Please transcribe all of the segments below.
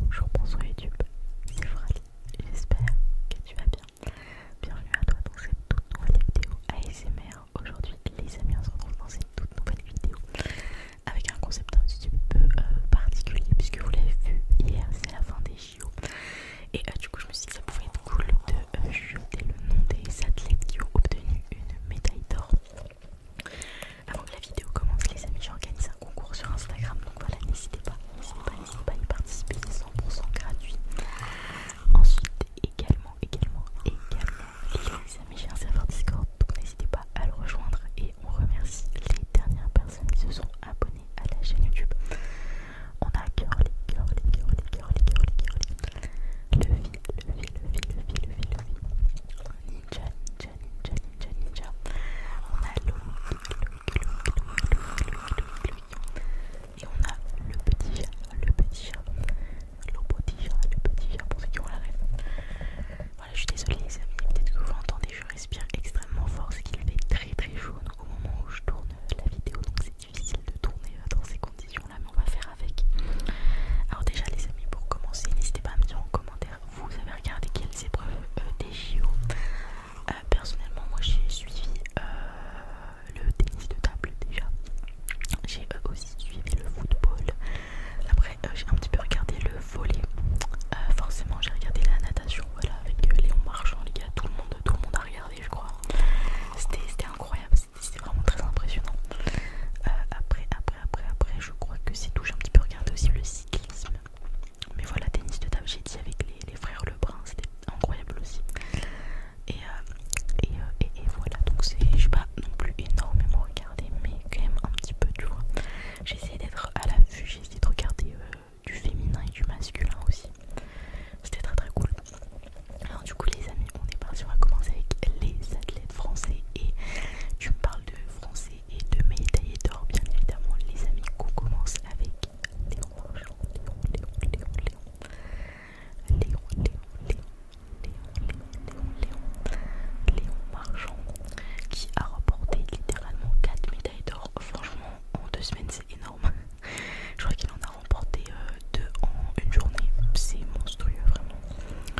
Bonjour, bonsoir YouTube, c'est j'espère que tu vas bien. Bienvenue à toi dans cette toute nouvelle vidéo ASMR. Aujourd'hui, les amis, on se retrouve dans cette toute nouvelle vidéo avec un concept un petit peu euh, particulier puisque vous l'avez vu hier, c'est la fin des JO. Et euh, du coup, je me suis dit que ça pouvait être cool de euh, jeter le nom des athlètes qui ont obtenu une médaille d'or. Avant que la vidéo commence, les amis, j'organise un concours sur Instagram. Donc voilà, n'hésitez pas, n'hésitez pas, à y participer, c'est 100% gratuit. Ensuite, également, également, également, les amis, j'ai un serveur Discord. Donc n'hésitez pas à le rejoindre. Et on remercie les dernières personnes qui se sont abonnées à la chaîne YouTube. On a curly, curly, curly, curly, curly, curly. Le fil, le fil, le fil, le Ninja, on a le petit chat, le petit chat, le petit chat, le petit chat pour ceux qui ont la rêve. Voilà, je suis désolée les amis, peut-être que vous entendez, je respire extrêmement fort, c'est qu'il fait très très chaud au moment où je tourne la vidéo, donc c'est difficile de tourner dans ces conditions là, mais on va faire avec. Alors déjà les amis, pour commencer, n'hésitez pas à me dire en commentaire, vous avez regardé quelles épreuves euh, des JO euh, Personnellement, moi j'ai suivi euh, le tennis de table déjà. J'ai aussi suivi le football. Après, j'ai un petit peu regardé le volley. forcément, j'ai regardé la natation, voilà, avec Léon Marchand, les gars. Tout le monde, tout le monde a regardé, je crois. C'était incroyable, c'était vraiment très impressionnant. Euh, après, après, après, après, je crois que c'est tout. J'ai un petit peu regardé aussi le cyclisme. Mais voilà, tennis de table, j'ai dit avec les, frères Lebrun, c'était incroyable aussi. Et, euh, euh, et, voilà, donc je sais pas non plus énormément regardé, mais quand même un petit peu, tu vois. essayé d'être à l'affût, essayé de regarder du féminin et du masculin aussi. C'était très très cool. Alors, du coup, les amis, on est parti, on va commencer avec les athlètes français et tu me parles de français et de médailles d'or bien évidemment les amis qu'on commence avec Léon Marchand, Léon, Léon, Léon, Léon, Léon, Léon, Léon, Léon, Léon, Léon, Léon Marchand qui a remporté littéralement 4 médailles d'or, franchement en 2 semaines c'est énorme, je crois qu'il en a remporté 2 euh, en une journée, c'est monstrueux vraiment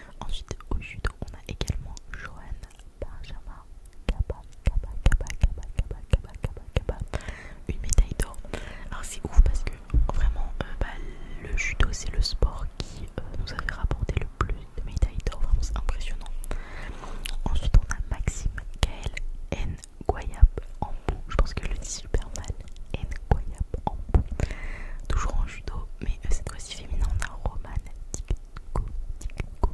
Ensuite, au judo, on a également Johan Benjama, Kaba, Kaba, Kaba, Kaba, Kaba, Kaba, Kaba, une médaille d'or. Alors, c'est ouf parce que vraiment, euh, bah, le judo, c'est le sport qui euh, nous avait rapporté le plus de médailles d'or. Vraiment, c'est impressionnant. Ensuite, on a Maxime Kael N. en bout. Je pense que le dit super mal. N. Toujours en judo, mais euh, cette fois-ci féminin, on a Roman Nico, Nico,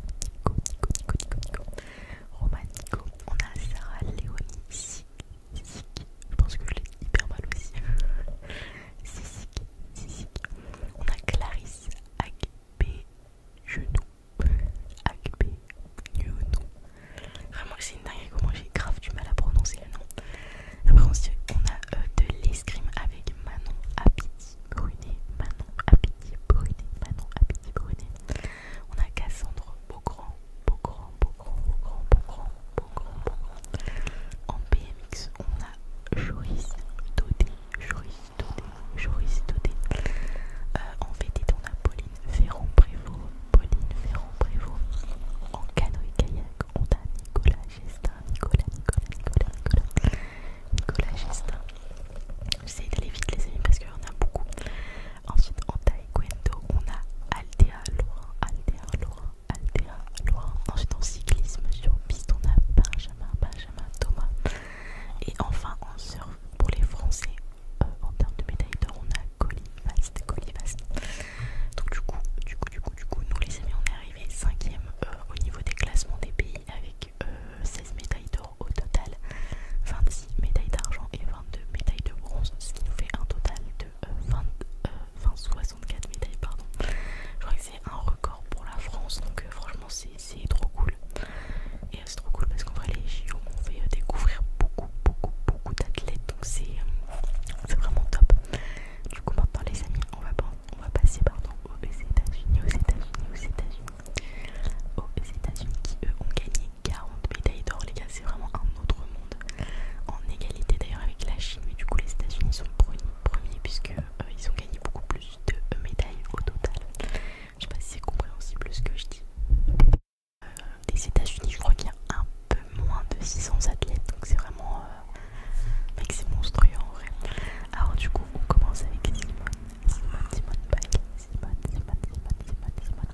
Nico, Nico, on a Sarah Léonie Sik, je pense que je l'ai hyper mal aussi, Sik, on a Clarisse Agbe Genou, Agbe Genou, vraiment c'est une dinguerie comment j'ai grave du mal à prononcer le nom. Après ah, on, a euh, de l'escrime avec Manon Apiti Brunet, Manon Apiti Brunet, Manon Apiti Brunet. On a Cassandre Beaugrand, Beaugrand, Beaugrand, Beaugrand, Beaugrand, Beaugrand, Beaugrand. En BMX on a Joris Dodé, Joris Dodé, Joris Dodé. Euh, en VTT on a Pauline ferrand Prévost, Pauline ferrand Prévost. En canoë-kayak on a Nicolas Nicolas, Nicolas, Nicolas, Nicolas, Nicolas Gestin. J'essaie d'aller vite les amis parce qu'il y en a beaucoup. Ensuite en taekwondo, on a Altea Laurent, Aldea Laurent, Aldea Laurent. Ensuite en cyclisme sur piste, on a Benjamin, Benjamin, Thomas. Et enfin en surf, pour les Français, euh, en termes de médailles d'or, on a colis Donc du coup, du coup, du coup, du coup, nous les amis, on est arrivé 5 euh, au niveau des classements des pays avec 16 euh, médailles d'or au total, 26 médailles d'argent et 22 médailles de bronze, ce qui nous fait un total de 20, euh, 64 médailles, pardon. Je crois que c'est un record pour la France, donc franchement c'est trop cool. Et c'est trop cool parce qu'en vrai les chiots, on fait découvrir beaucoup, beaucoup, beaucoup d'athlètes, donc c'est c'est vraiment top. Du coup maintenant les amis, on va, on va passer pardon, aux États-Unis, aux États-Unis, aux États-Unis, aux États-Unis qui eux ont gagné 40 médailles d'or les gars, c'est vraiment un autre monde. En égalité d'ailleurs avec la Chine, mais du coup les États-Unis sont premiers puisque euh, ils ont gagné beaucoup plus de médailles au total. Je sais pas si c'est compréhensible ce que je dis les États-Unis, je crois qu'il y a un peu moins de 600 athlètes, donc c'est vraiment. Euh, monstrueux en vrai. Alors, du coup, on commence avec Simone. Simone, Simone Simone, Simone, Simone, Simone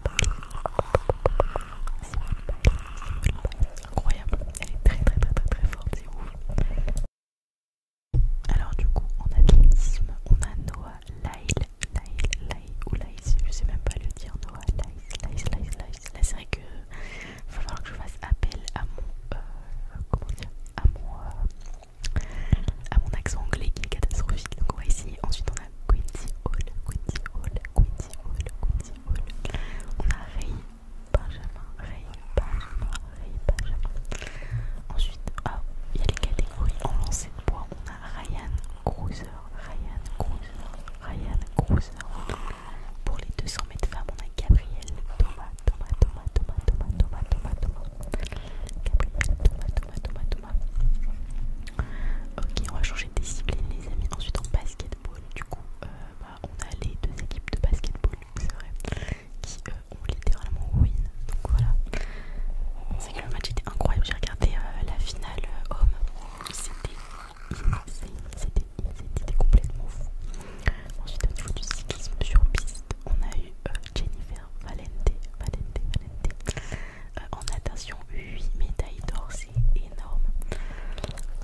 Simone Incroyable, elle est très, très, très, très, très forte, c'est ouf. Alors, du coup, en athlétisme, on a Noah Lyle. Lyle, ou Laïs, je sais même pas le dire, Noah, Laïs, nice, Laïs, Là, c'est vrai que il va falloir que je fasse appel à mon, euh, comment dire, à mon, euh, à mon accent anglais qui est catastrophique. Donc, on Ensuite, on a Quincy Hall, Quincy Hall, Quincy Hall, Quincy Hall. On a Ray Benjamin, Ray Benjamin, Ray Benjamin. Ensuite, ah, il y a les catégories en lance de bois. Ryan Cruiser, Ryan Cruiser, Ryan Cruiser. Pour les 200 mètres femmes, on a Gabrielle, Thomas, Thomas, Thomas, Thomas, Thomas, Thomas, Thomas, Thomas. Thomas, Thomas, Thomas, Ok, on va changer de discipline, les amis. Ensuite, en basketball, du coup, euh, bah, on a les deux équipes de basketball, c'est vrai, qui euh, ont littéralement win. Donc voilà. C'est que le match était incroyable. J'ai regardé euh, la finale homme. C'était c'était complètement fou. Ensuite, au niveau du cyclisme sur piste, on a eu Jennifer Valente, Valente, Valente. on en attention 8 médailles d'or, c'est énorme.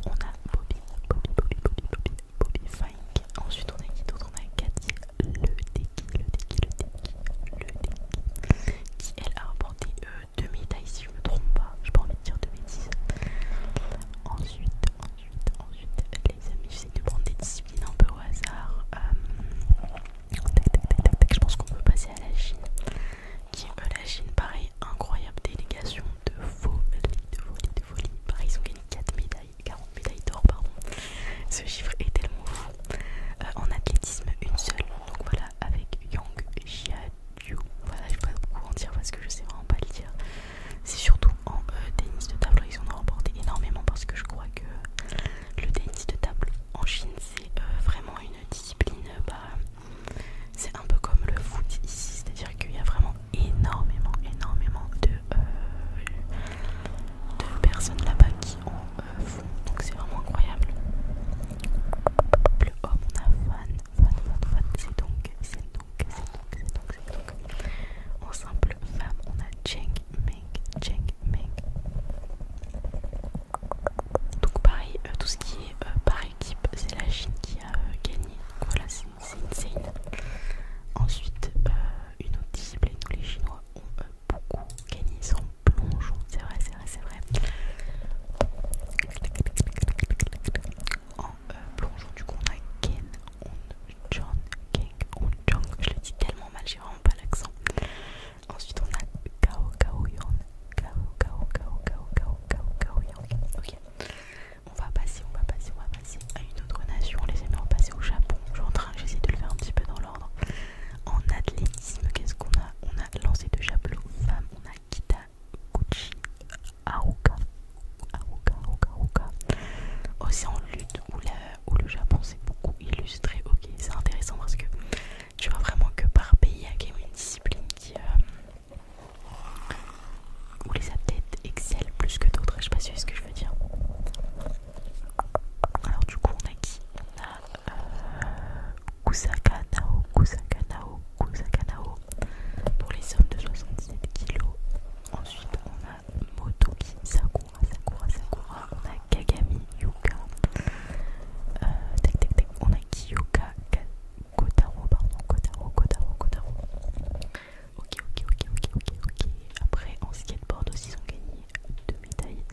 On a Bobby, Bobby, Bobby, Bobby, Bobby, Bobby Fink. Ensuite, on a qui d'autre On a Cathy Le Deki, Le Deki, Le Deki, Le Deki, qui elle a remporté euh, deux médailles si je me trompe pas, n'ai pas envie de dire de bêtises. Ensuite, ensuite, ensuite, les amis, j'essaie de prendre des disciplines un peu au hasard. Euh, tac, tac, tac, tac, tac, je pense qu'on peut passer à la Chine. Qui euh, la Chine, pareil, incroyable délégation de folie, de folie, de folie. Pareil, ils ont gagné 4 médailles, 40 médailles d'or, pardon. Ce chiffre est tellement fou. Euh, en athlétisme, une seule. Donc voilà, avec Yang Jiaju. Voilà, je pas beaucoup en dire parce que je sais vraiment pas le dire. C'est surtout en euh, tennis de table, ils en ont remporté énormément parce que je crois que le tennis de table en Chine, c'est euh, vraiment une discipline. Euh, bah, c'est un peu comme le foot ici, c'est-à-dire qu'il y a vraiment énormément, énormément de personnes là-bas qui ont donc c'est vraiment incroyable. Le homme, on a fan, fan, c'est donc, c'est donc, c'est donc, c'est donc, simple femme, on a Cheng Meng, Cheng Meng. Donc pareil, euh, tout ce qui est euh, par équipe, c'est la Chine qui a euh, gagné. voilà, c'est insane. Ensuite, une autre discipline les Chinois ont beaucoup Kenny, sont plongeons, C'est vrai, c'est vrai, c'est vrai. En euh, plongeon, du coup, on a Ken, on John, Ken, on Je le dis tellement mal, j'ai vraiment pas l'accent. Ensuite, on a Kao, Kao, Yon. Kao, Kao, Kao, Kao, Kao, Kao, Yon. Ok. On va passer, on va passer, on va passer à une autre nation. On va passer au Japon. Je suis en train, j'essaie de le faire un petit peu dans l'ordre. En athlétisme, qu'est-ce qu'on a On a lancé de javelot femmes on a Kita Gucci Aoka. Aoka, Aoka, Aoka. Aussi oh, en lutte où, le Japon s'est beaucoup illustré. Ok, c'est intéressant parce que tu vois vraiment que par pays, il y a une discipline qui, euh, où les athlètes excellent plus que d'autres. Je sais pas si ce que je veux dire. Alors du coup on a qui On a euh, Kusaka Nao, Kusaka Nao, pour les sommes de 77 kilos Ensuite on a Motoki Sakura, Sakura, Sakura. On a Kagami Yuka. Euh, on a Kiyoka Kotaro, pardon, Kotaro, Kotaro, Kotaro. Ok, ok, ok, ok, ok, ok. Après en skateboard aussi ils ont gagné deux médailles.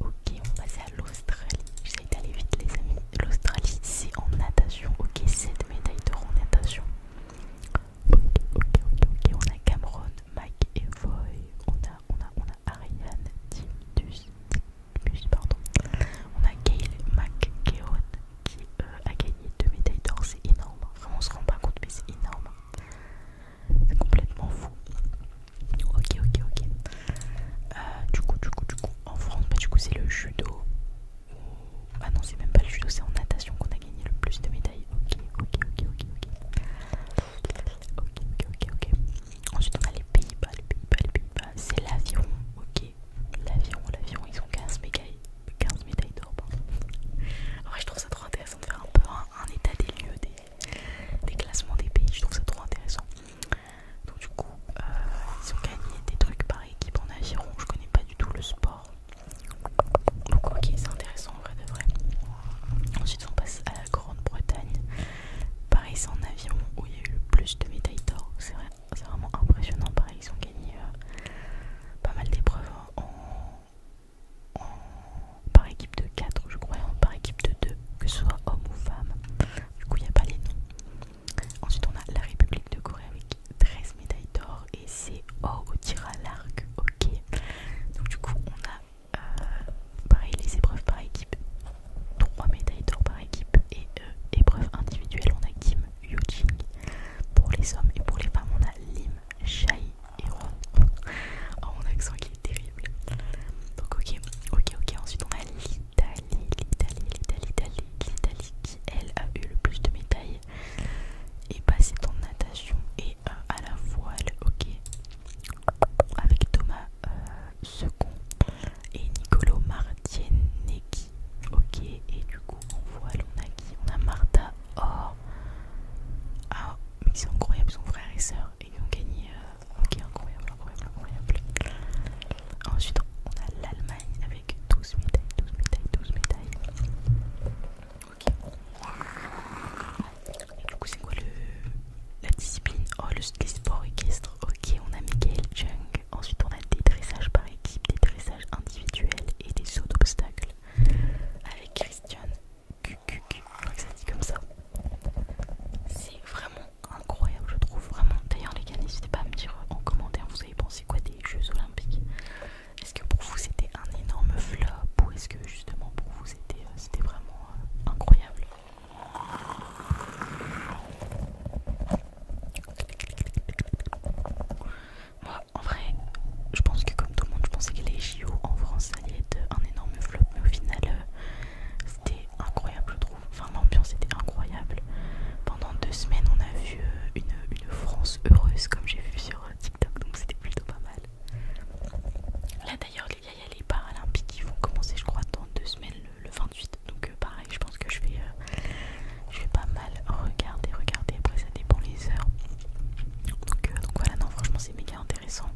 Ok, on va passer à l'Australie. J'essaie d'aller vite, les amis. L'Australie, c'est en natation. Ok, 7 médailles d'or en natation. Ok, ok, ok, On a Cameron, Mike et Voy. On a, on a, Ariane, Timus, pardon. On a Gail McKeown qui euh, a gagné 2 médailles d'or. C'est énorme. on se rend pas compte, mais c'est énorme. C'est complètement fou. Ok, ok, ok. Euh, du coup, du coup, du coup, en France, bah, du coup, c'est le judo. Ah non, c'est même pas le judo, c'est en natation qu'on a gagné le plus de médailles. Ok, ok, ok, ok, ok. Ok, ok, ok, Ensuite, on a les Pays-Bas, les Pays-Bas, les Pays-Bas. C'est l'avion, ok. L'avion, l'avion, ils ont 15 médailles, 15 médailles d'or. En je trouve ça trop intéressant de faire un peu un, un état des lieux des, des classements des pays, je trouve ça trop intéressant. Donc du coup, euh, ils ont gagné des trucs par équipe en aviron, je connais pas du tout le sport. Donc ok, c'est intéressant en vrai de vrai. Ensuite on passe à la Grande-Bretagne. Pareil c'est en aviron où il y a eu le plus de médailles d'or. C'est vrai, vraiment impressionnant. Pareil ils ont gagné euh, pas mal d'épreuves en, par équipe de 4, je crois, hein, par équipe de 2, que ce soit homme ou femme. Du coup, il n'y a pas les noms. Ensuite, on a la République de Corée avec 13 médailles d'or et c'est au tir à l'arc, ok. Donc, du coup, on a euh, pareil les épreuves par équipe 3 médailles d'or par équipe et euh, épreuves individuelles on a Kim yoo pour les hommes et pour les femmes on a Lim Shai Oh, mon accent qui est terrible. Donc, ok, ok, ok. Ensuite, on a l'Italie, l'Italie, l'Italie, l'Italie, qui, elle, a eu le plus de médailles et passé bah, en natation et à la voile, ok. Avec Thomas euh, Second et Nicolo qui ok. Et du coup, en voile, on a qui On a Martha. Or oh. ah, mais c'est incroyable, son frère et sœur, et ils ont gagné. Euh, ok, incroyable, incroyable, incroyable. Ensuite, on a l'Allemagne avec 12 médailles, 12 médailles, 12 médailles. Ok. du coup, c'est quoi le, la discipline Oh, le, sport sports Ok, on a Miguel Jung. Ensuite, on a des dressages par équipe, des dressages individuels et des sauts d'obstacles avec Christian c'est vraiment incroyable, je trouve vraiment. D'ailleurs, les gars, n'hésitez pas à me dire en commentaire, vous avez pensé quoi des Jeux Olympiques Est-ce que pour vous c'était un énorme flop ou est-ce que justement pour vous c'était euh, vraiment euh, incroyable en vrai, je pense que comme tout le monde, je pensais que les JO en France allait être un énorme flop, mais au final, euh, c'était incroyable, je trouve. Enfin, l'ambiance était incroyable. Pendant deux semaines, on a vu euh, une, France heureuse, comme j'ai vu sur euh, TikTok, donc c'était plutôt pas mal. Là d'ailleurs les il y a les Paralympiques qui vont commencer je crois dans deux semaines le, 28 donc pareil je pense que je vais, je vais pas mal regarder, regarder après ça dépend les heures euh, donc, voilà, non, franchement, c'est méga intéressant.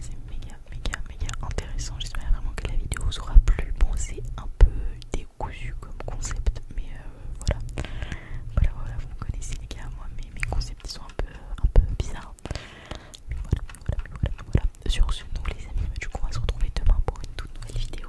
C'est méga, méga, méga intéressant. J'espère vraiment que la vidéo vous aura plu. Bon, c'est un peu décousu comme concept, mais euh, voilà. Voilà, voilà, vous connaissez les gars, moi, mes, mes concepts ils sont un peu, un peu bizarres. voilà, voilà, voilà. Sur ce, nous les amis, bah, du coup, on va se retrouver demain pour une toute nouvelle vidéo.